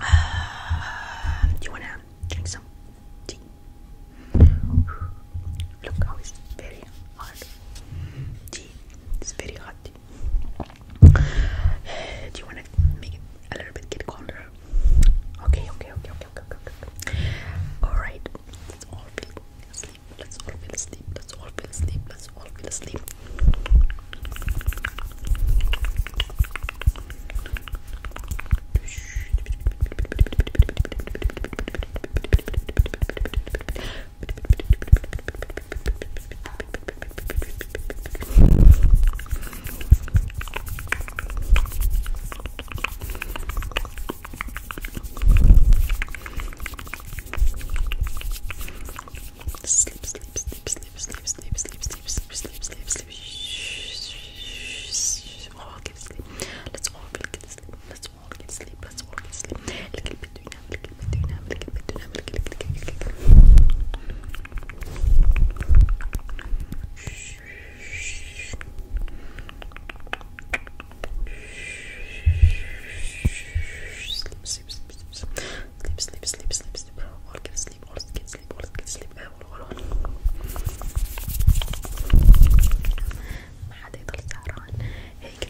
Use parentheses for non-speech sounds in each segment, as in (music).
Uh, do you want to drink some tea? Look how it's very hard. Tea. It's very hot. Uh, do you want to make it a little bit get colder? Okay, okay, okay, okay, okay, okay. okay. All right. Let's all feel asleep. Let's all feel asleep. Let's all feel asleep. Let's all feel asleep. Sleep, sleep, sleep, sleep, sleep, sleep, sleep, sleep, sleep, sleep, sleep, sleep. Shh, shh, shh, shh. All get sleep. Let's all really get sleep. Let's بس وقت سليب بس وقت سليب الكل بده ينام الكل بده ينام الكل بده ينام الكل الكل الكل sleep sleep sleep sleep sleep sleep sleep sleep or get sleep or get sleep or get sleep ما حدا يضل سهران هيك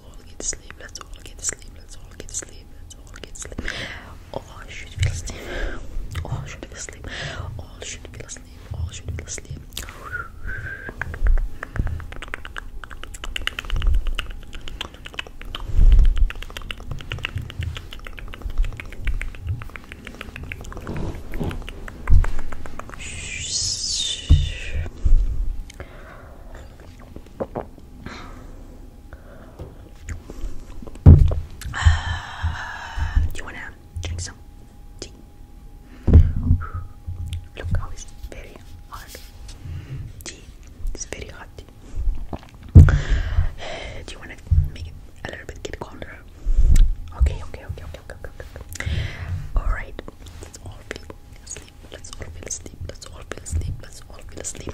let's all get to sleep, let's all get to sleep, let's all get to sleep, let's all get to sleep. All should feel asleep, all should be asleep, all should feel asleep, all should feel asleep do you want to drink some tea? Look how it's very hot. Tea. It's very hot. Do you want to make it a little bit get colder? Okay, okay, okay, okay, okay, okay. okay. Alright, let all asleep. Let's all feel asleep. Let's all feel asleep. Let's all feel asleep.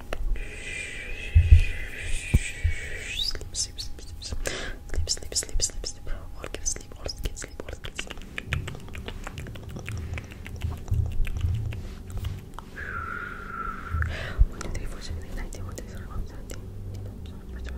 Sleep, sleep, sleep, sleep, sleep, sleep, sleep, sleep, sleep, or get sleep, or get sleep, or get sleep. One, two, three, four, seven, eight, nine, ten, one, two, three, four, seven, eight, nine, ten,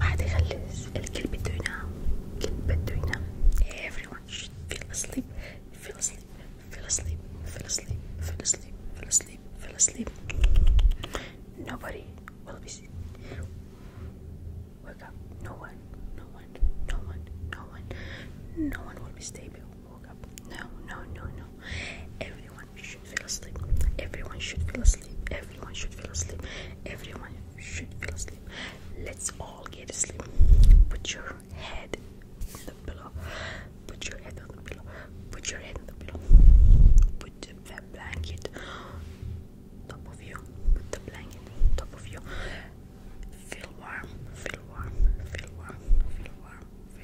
عادي خلص الكل بده ينام everyone should asleep feel asleep feel asleep feel asleep feel asleep feel asleep feel asleep nobody will be sick wake up no one no one no one no one no one will be stable woke up no no no no everyone everyone should feel asleep. Everyone should feel asleep. Everyone should feel asleep. Everyone should feel asleep. Let's all get asleep. Put your head on the pillow. Put your head on the pillow. Put your head on the pillow. Put the blanket top of you. Put the blanket top of you. Feel warm. Feel warm. Feel warm. Feel warm. Feel warm. Feel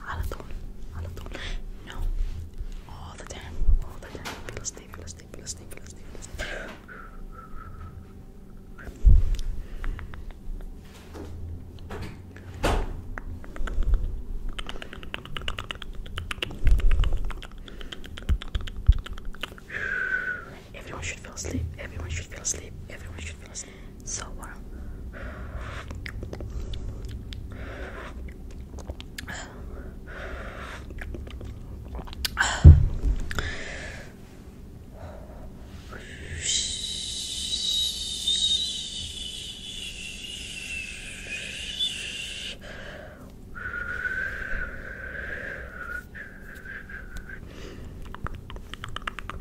على طول على طول no all the time all the time فلسطين فلسطين فلسطين فلسطين فلسطين Everyone should fall asleep. Everyone should fall asleep. Everyone should fall asleep so warm. Uh,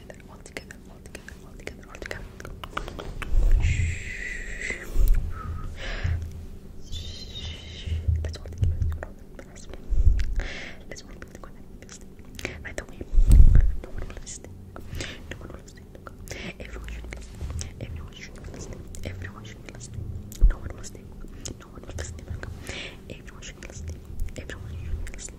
together, all together, all together, all together, all together. Let's all together. Let's all be together. By the way, no one will listen. No one will listen. Everyone should be listening. Everyone should be listening. Everyone should be listening. No one will stay. No one will listen. Everyone should be listening. Everyone should be listening.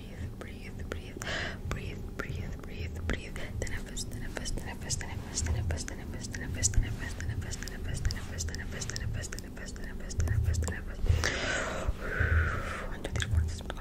breathe, breathe, breathe, breathe, breathe, breathe, breathe. Tenefus, tenefus, tenefus, tenefus, tenefus, tenefus, tenefus, tenefus, tenefus, tenefus, tenefus, tenefus, tenefus, tenefus, tenefus, tenefus, tenefus. One, two, three, four.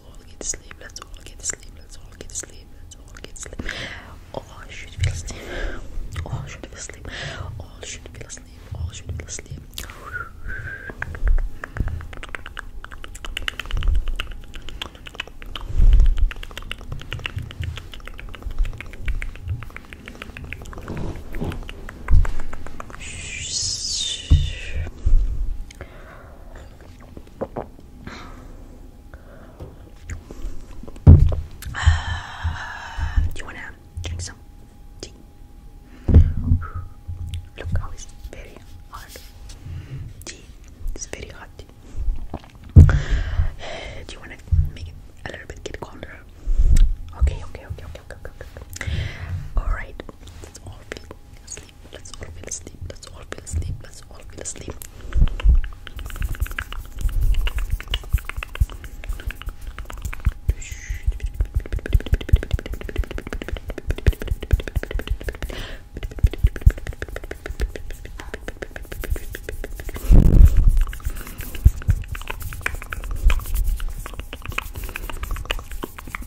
let's all get to sleep, let's all get to sleep, let's all get to sleep, let's all get to sleep. All should feel asleep, all should feel asleep, all should feel asleep, all should feel asleep. (sighs) do you wanna drink some Look how it's very hot. Tea. It's very hot. Uh, (sighs) do you wanna make it a little bit get colder? Okay, okay, okay, okay, okay, okay. Alright, that's all asleep. Let's all feel asleep. Let's all feel asleep. Let's all feel asleep.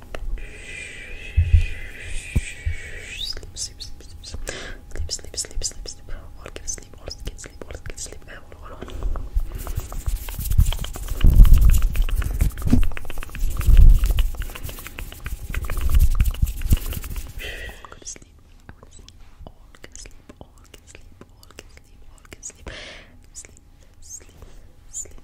Sleep, sleep, sleep, sleep, sleep, sleep, sleep, sleep, sleep. All get sleep, all get sleep, all get sleep. All, all, all. All good sleep. I want to sleep. All can sleep. All can sleep. All can sleep. All can sleep. Sleep, sleep, sleep,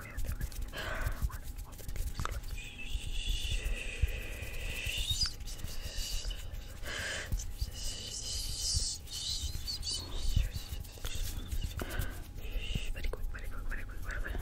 sorry, I'm sorry. Very quick, very quick, very quick, very quick. Very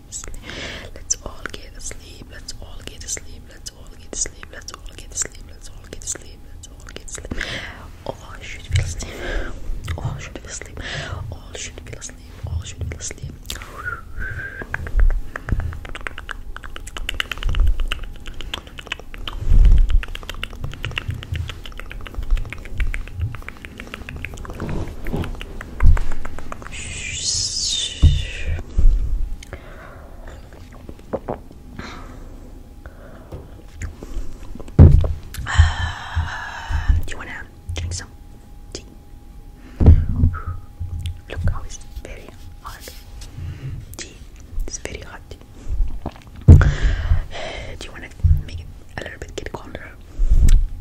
sleep. Let's all get asleep. Let's all get asleep. Let's all get asleep. Let's all get asleep. Let's all get asleep. Let's all get asleep. All should be asleep. All should be asleep. All should be asleep. All should be asleep. Uh, do you want to drink some tea? Look it's very hot. Tea. It's very hot. Do you want to make it a little bit get colder?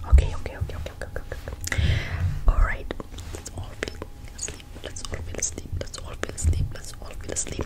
Okay, okay, okay, Alright, let's all feel asleep. Let's all feel asleep. Let's all feel asleep. Let's all feel asleep.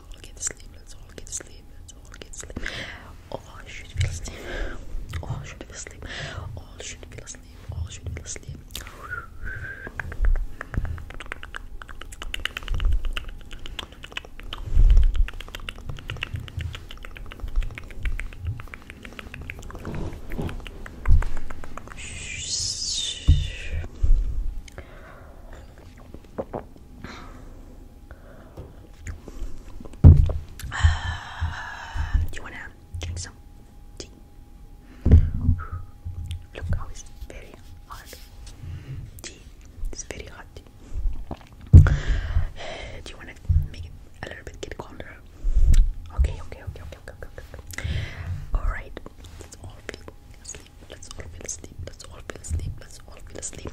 let's all get to sleep, let's all get to sleep, let's all get to sleep. All should feel asleep, all should feel asleep, all should feel asleep, all should feel asleep. (sighs) do you wanna drink some (sighs) Look how it's very hot. It's very hot. (sighs) do you wanna make it a little bit colder? Okay, okay, okay, okay, okay, okay. okay. Alright, it's all feeling Let's all feel asleep. Let's all feel asleep. Let's all feel asleep.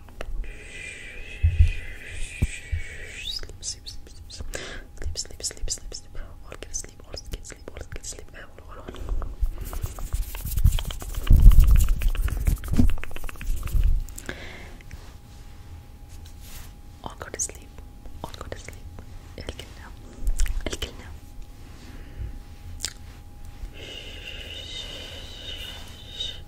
sleep, sleep, sleep, sleep, sleep, sleep, sleep, sleep, sleep, all sleep, all get sleep, all sleep, all, all, go to sleep, all go to sleep, الكلنا, الكلنا.